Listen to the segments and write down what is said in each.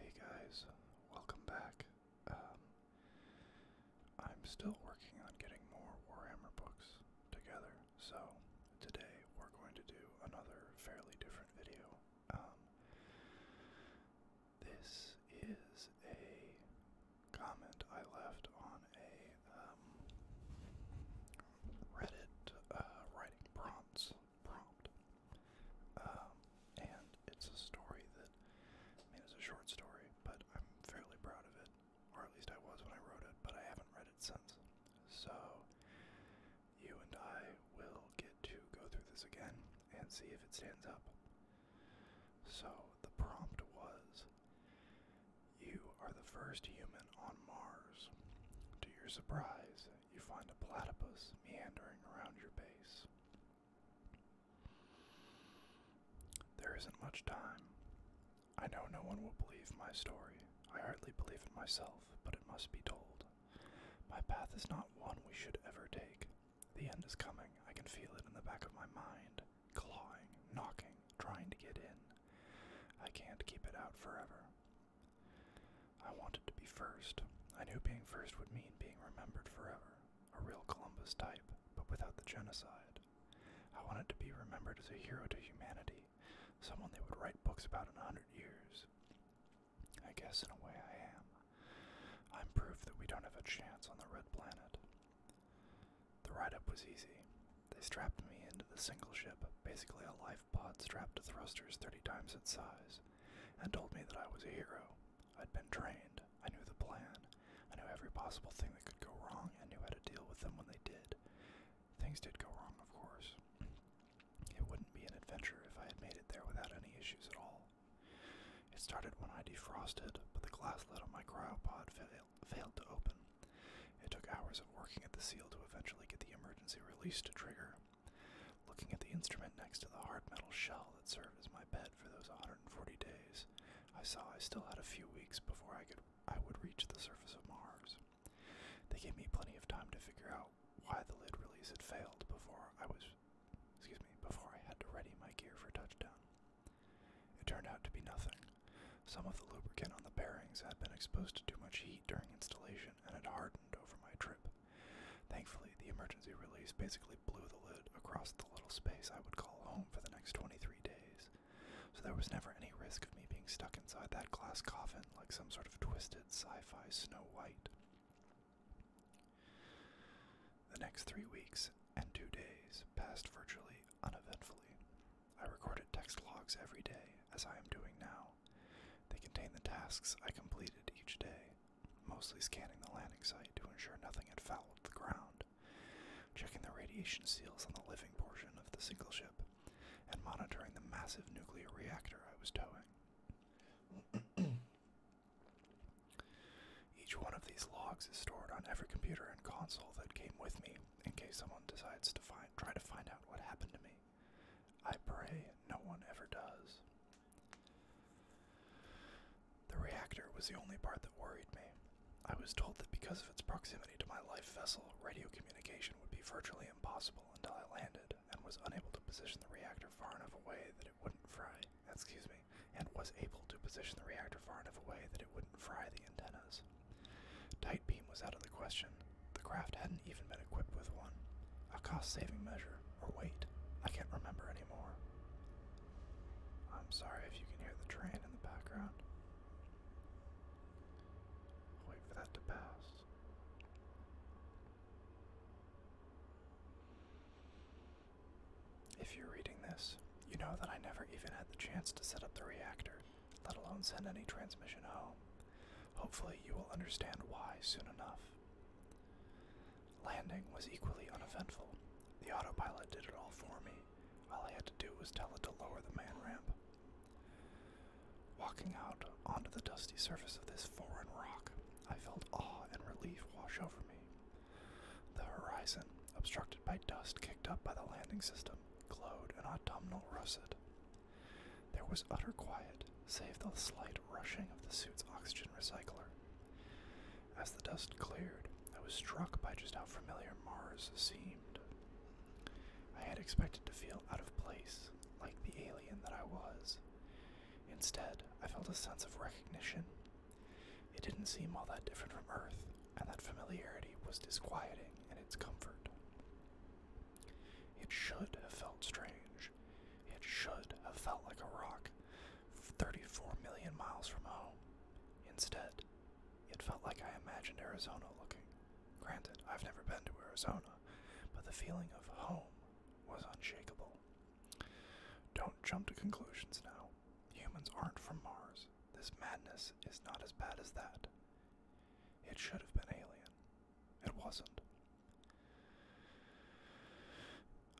Hey guys, welcome back. Um, I'm still working on getting more Warhammer books together, so today we're going to do another fairly different video. Um, this is a comment I left on a um, Reddit uh, writing prompts prompt. Um, and it's a story that, I mean, it's a short story, but I'm fairly proud of it, or at least I was when I wrote it, but I haven't read it since. So, you and I will get to go through this again and see if it stands up. So, the prompt was You are the first human on Mars. To your surprise, you find a platypus meandering around your base. There isn't much time. I know no one will believe my story. I hardly believe it myself, but it must be told. My path is not one we should ever take. The end is coming. I can feel it in the back of my mind, clawing, knocking, trying to get in. I can't keep it out forever. I wanted to be first. I knew being first would mean being remembered forever, a real Columbus type, but without the genocide. I wanted to be remembered as a hero to humanity, someone they would write books about in a hundred years. I guess in a way I am. I'm proof that we don't have a chance on the red planet. The ride up was easy. They strapped me into the single ship, basically a life pod strapped to thrusters 30 times its size, and told me that I was a hero. I'd been trained, I knew the plan, I knew every possible thing that could go wrong, and knew how to deal with them when they did. Things did go wrong, of course. It wouldn't be an adventure if I had made it there without any issues at all. It started when I defrosted, but the glass lid on my cryopod failed to open. It took hours of working at the seal to eventually get the emergency release to trigger. Looking at the instrument next to the hard metal shell that served as my bed for those 140 days, I saw I still had a few weeks before I could I would reach the surface of Mars. They gave me plenty of time to figure out why the lid release had failed before I was excuse me, before I had to ready my gear for touchdown. It turned out to be nothing. Some of the lubricant on the bearings had been exposed to too much heat during installation and had hardened over my trip. Thankfully, the emergency release basically blew the lid across the little space I would call home for the next 23 days, so there was never any risk of me being stuck inside that glass coffin like some sort of twisted sci fi Snow White. The next three weeks and two days passed virtually uneventfully. I recorded text logs every day, as I am doing now. They contain the tasks I completed each day, mostly scanning the landing site to ensure nothing had fouled the ground, checking the radiation seals on the living portion of the single ship, and monitoring the massive nuclear reactor I was towing. Each one of these logs is stored on every computer and console that came with me in case someone decides to find try to find out what happened to me. I pray no one ever does. The reactor was the only part that worried me. I was told that because of its proximity to my life vessel, radio communication would be virtually impossible until I landed and was unable to position the reactor far enough away that it wouldn't fry. Excuse me, and was able to position the reactor far enough away that it wouldn't fry the antennas. Tight beam was out of the question. The craft hadn't even been equipped with one. A cost saving measure, or weight I can't remember anymore. I'm sorry if you can hear the train in the background. wait for that to pass. If you're reading this, you know that I never even had the chance to set up the reactor let alone send any transmission home. Hopefully, you will understand why soon enough. Landing was equally uneventful. The autopilot did it all for me. All I had to do was tell it to lower the man ramp. Walking out onto the dusty surface of this foreign rock, I felt awe and relief wash over me. The horizon, obstructed by dust kicked up by the landing system, glowed an autumnal russet. There was utter quiet, save the slight rushing of the suit's oxygen recycler. As the dust cleared, I was struck by just how familiar Mars seemed. I had expected to feel out of place, like the alien that I was. Instead, I felt a sense of recognition it didn't seem all that different from Earth, and that familiarity was disquieting in its comfort. It should have felt strange. It should have felt like a rock 34 million miles from home. Instead, it felt like I imagined Arizona looking. Granted, I've never been to Arizona, but the feeling of home was unshakable. Don't jump to conclusions now. Humans aren't from Mars, this madness is not as bad as that. It should have been Alien. It wasn't.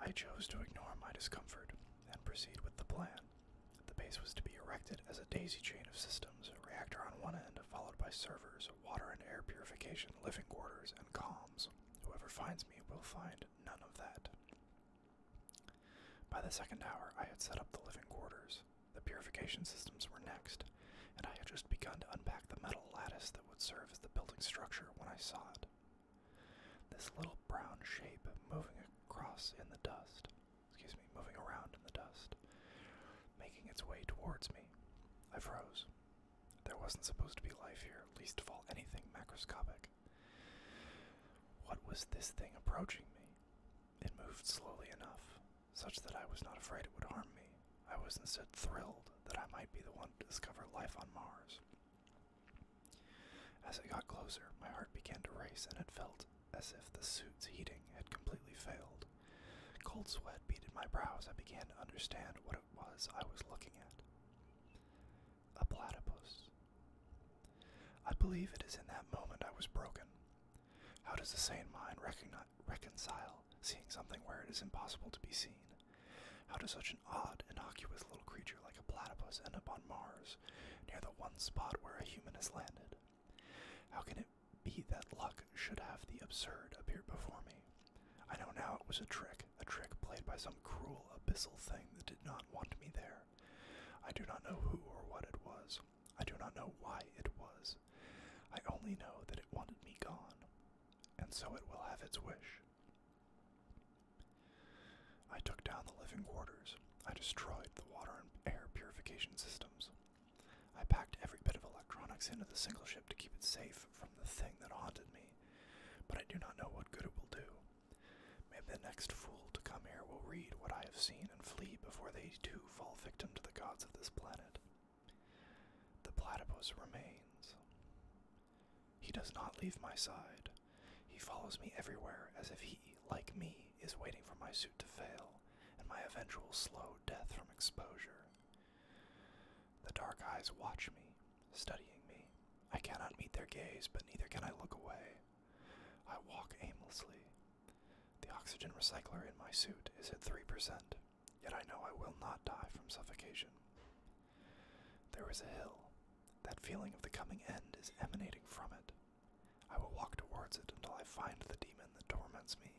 I chose to ignore my discomfort and proceed with the plan. The base was to be erected as a daisy chain of systems, a reactor on one end, followed by servers, water and air purification, living quarters, and comms. Whoever finds me will find none of that. By the second hour, I had set up the living quarters. The purification systems were next, and I had just begun to unpack the metal lattice that would serve as the building structure when I saw it. This little brown shape moving across in the dust, excuse me, moving around in the dust, making its way towards me. I froze. There wasn't supposed to be life here, least of all anything macroscopic. What was this thing approaching me? It moved slowly enough, such that I was not afraid it would harm me. I was instead thrilled that I might be the one to discover life on Mars. As it got closer, my heart began to race, and it felt as if the suit's heating had completely failed. Cold sweat beaded my brows. I began to understand what it was I was looking at a platypus. I believe it is in that moment I was broken. How does the sane mind reconcile seeing something where it is impossible to be seen? How does such an odd, innocuous little creature like a platypus end up on Mars, near the one spot where a human has landed? How can it be that luck should have the absurd appear before me? I know now it was a trick, a trick played by some cruel abyssal thing that did not want me there. I do not know who or what it was. I do not know why it was. I only know that it wanted me gone, and so it will have its wish. I took down the living quarters. I destroyed the water and air purification systems. I packed every bit of electronics into the single ship to keep it safe from the thing that haunted me, but I do not know what good it will do. Maybe the next fool to come here will read what I have seen and flee before they too fall victim to the gods of this planet. The platypus remains. He does not leave my side. He follows me everywhere as if he, like me, is waiting for my suit to fail and my eventual slow death from exposure. The dark eyes watch me, studying me. I cannot meet their gaze, but neither can I look away. I walk aimlessly. The oxygen recycler in my suit is at 3%, yet I know I will not die from suffocation. There is a hill. That feeling of the coming end is emanating from it. I will walk towards it until I find the demon that torments me.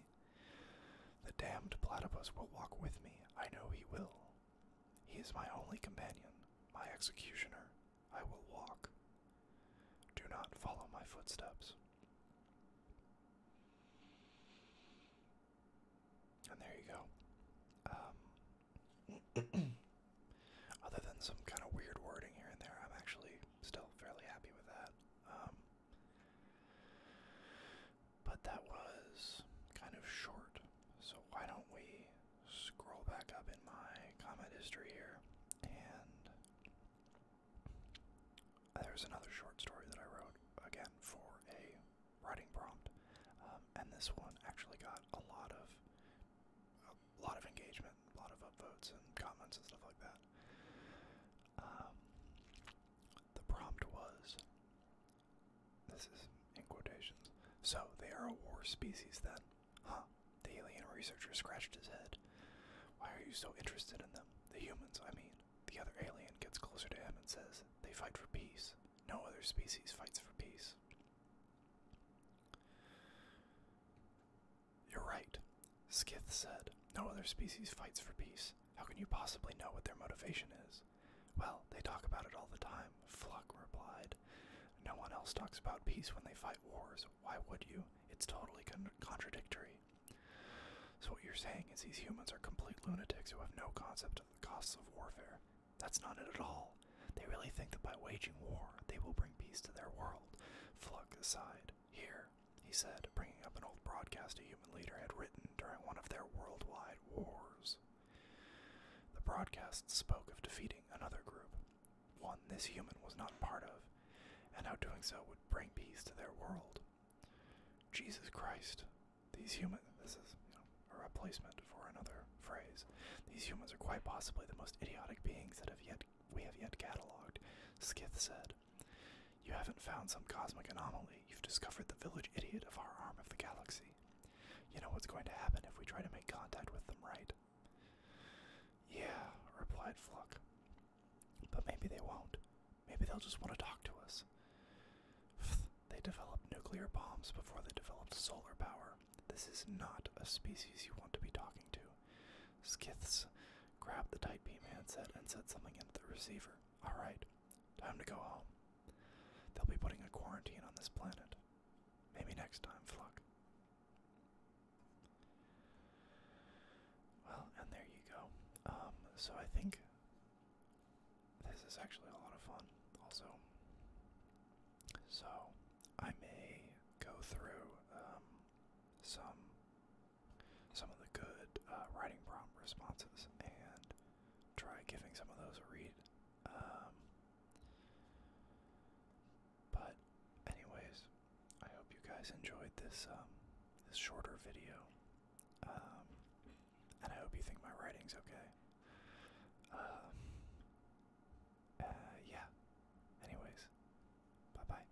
The damned platypus will walk with me. I know he will. He is my only companion, my executioner. I will walk. Do not follow my footsteps. And there you go. Um, other than some kind of weird wording here and there, I'm actually still fairly happy with that. Um, but that was kind of short, so why don't we scroll back up in my comment history here? And there's another short story that I wrote again for a writing prompt, um, and this one actually got a lot of a lot of engagement, a lot of upvotes and comments and stuff like that. Um, the prompt was this is in quotations. So they are a war species then. Huh. The alien researcher scratched his head. Why are you so interested in them? The humans, I mean. The other alien gets closer to him and says, They fight for peace. No other species fights for peace. You're right, Skith said. No other species fights for peace. How can you possibly know what their motivation is? Well, they talk about it all the time, Fluck replied. No one else talks about peace when they fight wars. Why would you? It's totally contradictory. So, what you're saying is these humans are complete lunatics who have no concept of the costs of warfare. That's not it at all. They really think that by waging war, they will bring peace to their world. Fluck sighed. Here, he said, bringing up an old broadcast a human leader had written during one of their worldwide wars. The broadcast spoke of defeating another group, one this human was not part of, and how doing so would bring peace to their world. Jesus Christ, these humans, this is a replacement for another phrase. These humans are quite possibly the most idiotic beings that have yet we have yet catalogued, Skith said. You haven't found some cosmic anomaly. You've discovered the village idiot of our arm of the galaxy. You know what's going to happen if we try to make contact with them, right? Yeah, replied Flock. But maybe they won't. Maybe they'll just want to talk to us. They developed nuclear bombs before they developed solar power. This is not a species you want to be talking to. Skiths grabbed the tight beam handset and set something into the receiver. Alright, time to go home. They'll be putting a quarantine on this planet. Maybe next time, Fluck. Well, and there you go. Um, so I think this is actually a lot of fun, also. So I may go through um, some some of the good uh, writing prompt responses and try giving some of those a read. Um, but, anyways, I hope you guys enjoyed this um, this shorter video, um, and I hope you think my writing's okay. Uh, yeah. Anyways, bye bye.